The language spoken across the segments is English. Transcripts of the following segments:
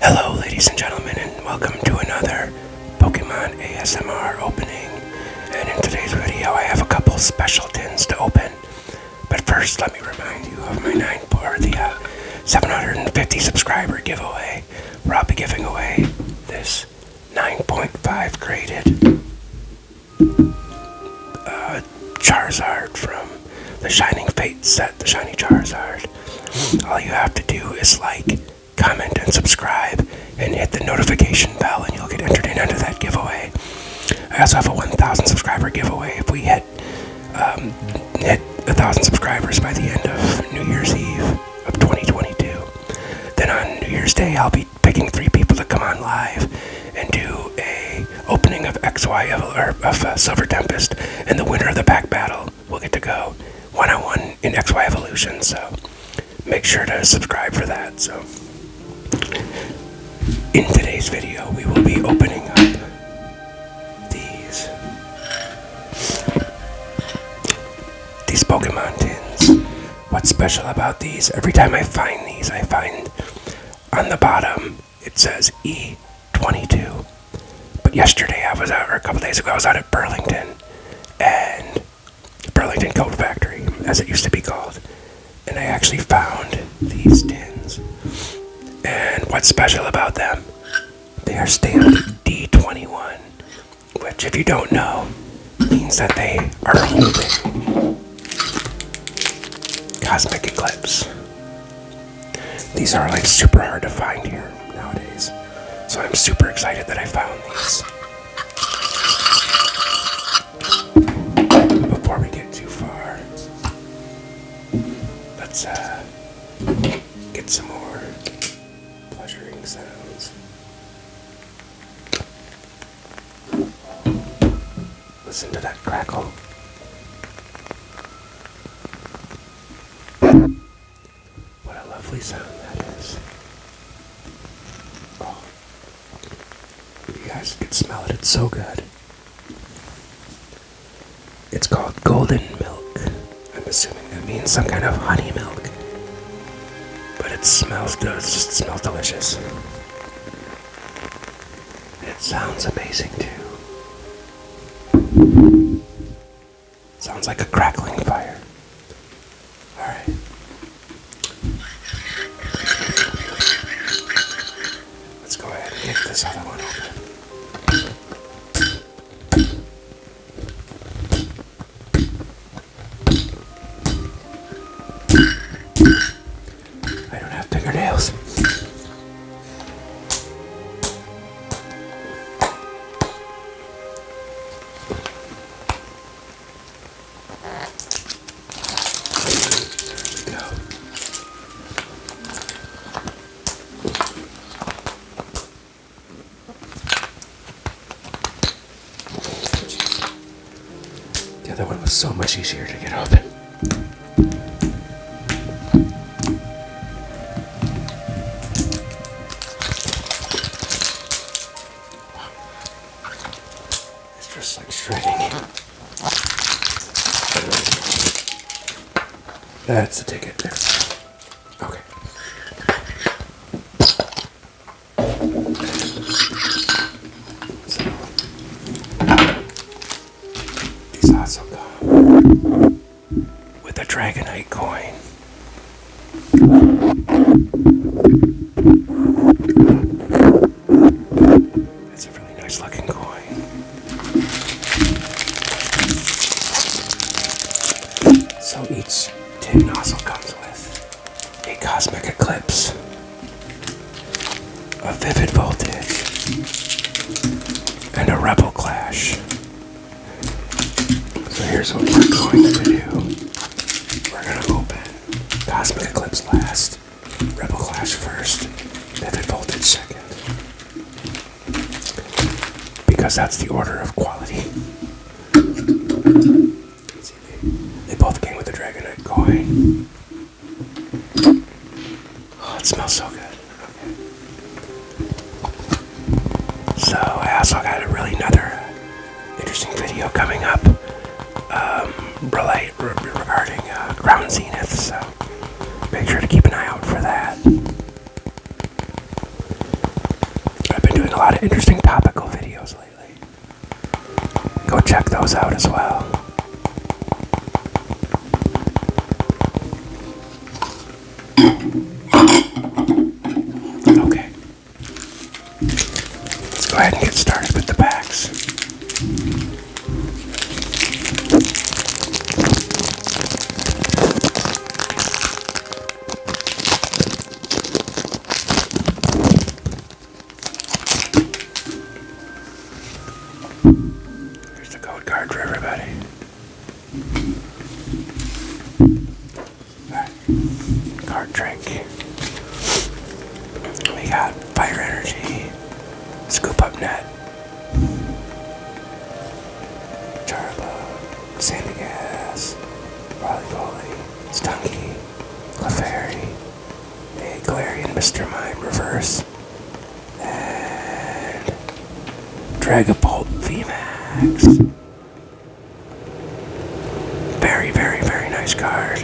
Hello, ladies and gentlemen, and welcome to another Pokemon ASMR opening. And in today's video, I have a couple special tins to open. But first, let me remind you of my nine or the uh, 750 subscriber giveaway. Where I'll be giving away this 9.5 graded uh, Charizard from the Shining Fate set, the Shiny Charizard. All you have to do is like, comment, and subscribe, and hit the notification bell, and you'll get entered in under that giveaway. I also have a 1,000 subscriber giveaway. If we hit um, hit 1,000 subscribers by the end of New Year's Eve of 2022, then on New Year's Day I'll be picking three people to come on live and do a opening of XY of, or of uh, Silver Tempest and the winner of the pack battle we'll get to go one on one in XY Evolution. So make sure to subscribe for that. So in today's video, we will be opening up these these Pokemon tins. What's special about these? Every time I find these, I find on the bottom it says E22. But yesterday I was out, or a couple days ago, I was out at Burlington and Burlington Coat Factory, as it used to be called. And I actually found these tins. And what's special about them? They are stamped D21, which, if you don't know, means that they are holding Cosmic Eclipse. These are like super hard to find here nowadays. So I'm super excited that I found these. Before we get too far, let's uh, get some more pleasuring sounds. Listen to that crackle. What a lovely sound that is. Oh, you guys can smell it, it's so good. It's called golden milk. I'm assuming that means some kind of honey milk. But it smells just smells delicious. It sounds amazing too. Sounds like a crackling fire. Alright. Let's go ahead and get this other one open. I don't have fingernails. The other one was so much easier to get open. It's just like shredding. That's the ticket Okay. these are so good with a Dragonite coin. That's a really nice looking coin. So each tin nozzle comes with a cosmic eclipse, a vivid voltage and a rebel clash. So here's what we're going to do. We're gonna open Cosmic Eclipse last, Rebel Clash first, Vivid Voltage second. Because that's the order of quality. They both came with a Dragonite coin. Oh, it smells so good. So I also got a really another interesting video coming up um, regarding uh, Ground Zenith. So make sure to keep an eye out for that. I've been doing a lot of interesting topical videos lately. Go check those out as well. Okay. Let's go ahead and get started with the packs. There's the code card for everybody. Card trick. We got fire energy, scoop up net, Charlo, Sandy Gas, Raleigh Coley, Stunky, Clefairy, a Galarian Mr. Mime reverse, and Dragapult VMAX. Very, very, very nice card.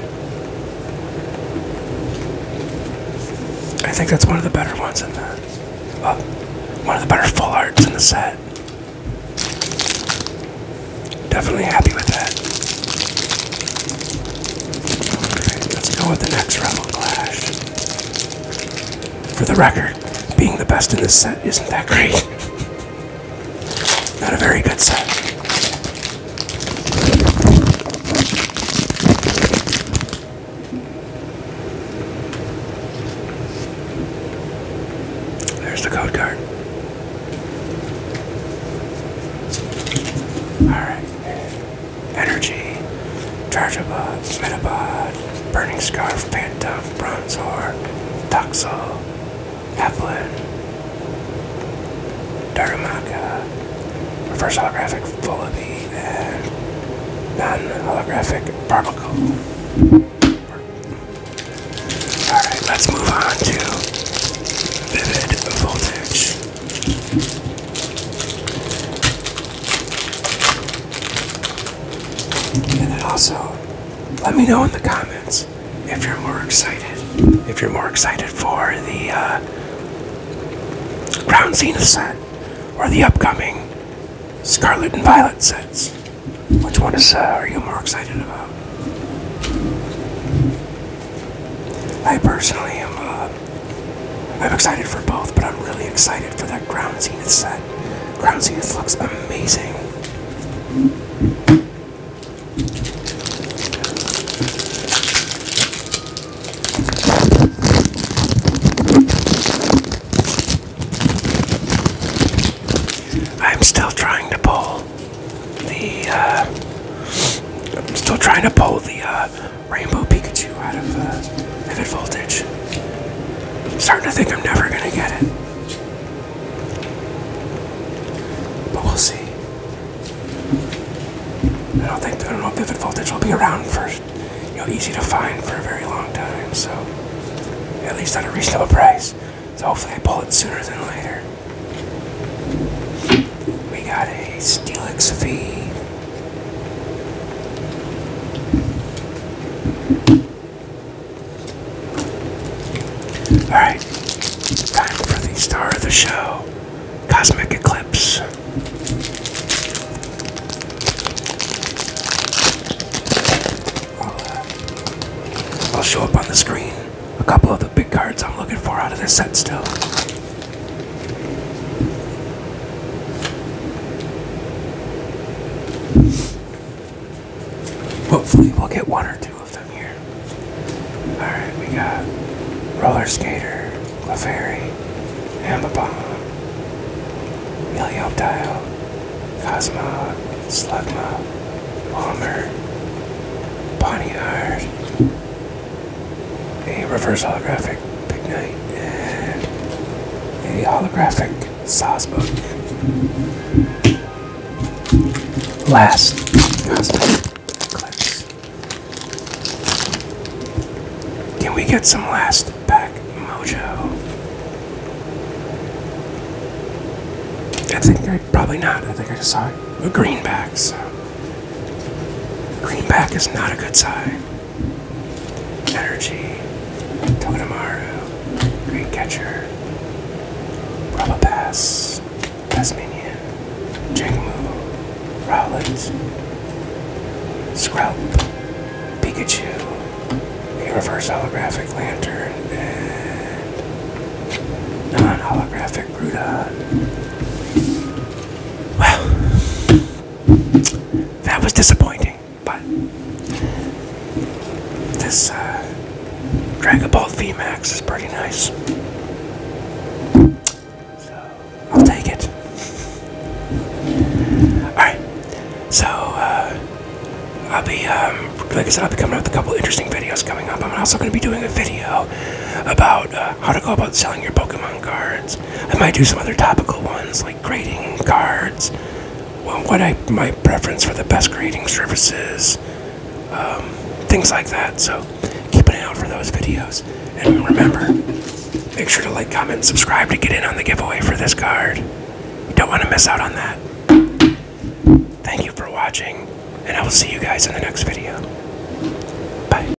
I think that's one of the better ones in the. Oh, one of the better full arts in the set. Definitely happy with that. let's go with the next Rebel Clash. For the record, being the best in this set isn't that great. Not a very good set. There's the code card. Alright. Energy, Chargebot, Metabot, Burning Scarf, pantuff, Bronzor, Toxel, Applin, Darumaka, Reverse Holographic Vullaby, and Non-Holographic Barbacle. Alright, let's move on to Vivid Voltage. And then also, let me know in the comments if you're more excited. If you're more excited for the uh, Crown set or the upcoming Scarlet and Violet sets, which one is uh, are you more excited about? I personally am. Uh, I'm excited for both, but I'm really excited for that Ground Zenith set. Ground Zenith looks amazing. I'm still trying to pull the, uh, I'm still trying to pull the, uh, Rainbow Pikachu out of uh, Vivid Voltage. starting to think I'm never gonna get it. But we'll see. I don't think I don't know if Vivid Voltage will be around for you know easy to find for a very long time, so at least at a reasonable price. So hopefully I pull it sooner than later. We got a Steelix V Alright, time for the star of the show Cosmic Eclipse. I'll show up on the screen a couple of the big cards I'm looking for out of this set still. Hopefully we'll get one or two of them here. Alright, we got Roller Skater, Clefairy, Ambabomb, Melioptile, Cosmog, Slugma, Palmer, Bonniard, a reverse holographic Big Night, and a holographic Sawsbook. Last Can we get some last pack mojo? I think I probably not. I think I just saw a greenback, so greenback is not a good sign. Energy, Togedemaru, Great Catcher, Pass. Tasmanian, Jangmu, Rowlet, Scrub, Pikachu, a reverse holographic lantern, and non holographic Groudon. Wow that was disappointing, but this uh, Dragon Ball VMAX is pretty nice. So, I'll take it. Alright, so uh, I'll be, um, like I said, I'll be coming up with a couple interesting videos coming up. I'm also going to be doing a video about uh, how to go about selling your Pokemon cards. I might do some other topical ones like grading cards. what I my preference for the best grading services, um, things like that. So keep an eye out for those videos. And remember, make sure to like, comment, subscribe to get in on the giveaway for this card. You don't want to miss out on that. Thank you for watching, and I will see you guys in the next video. Bye.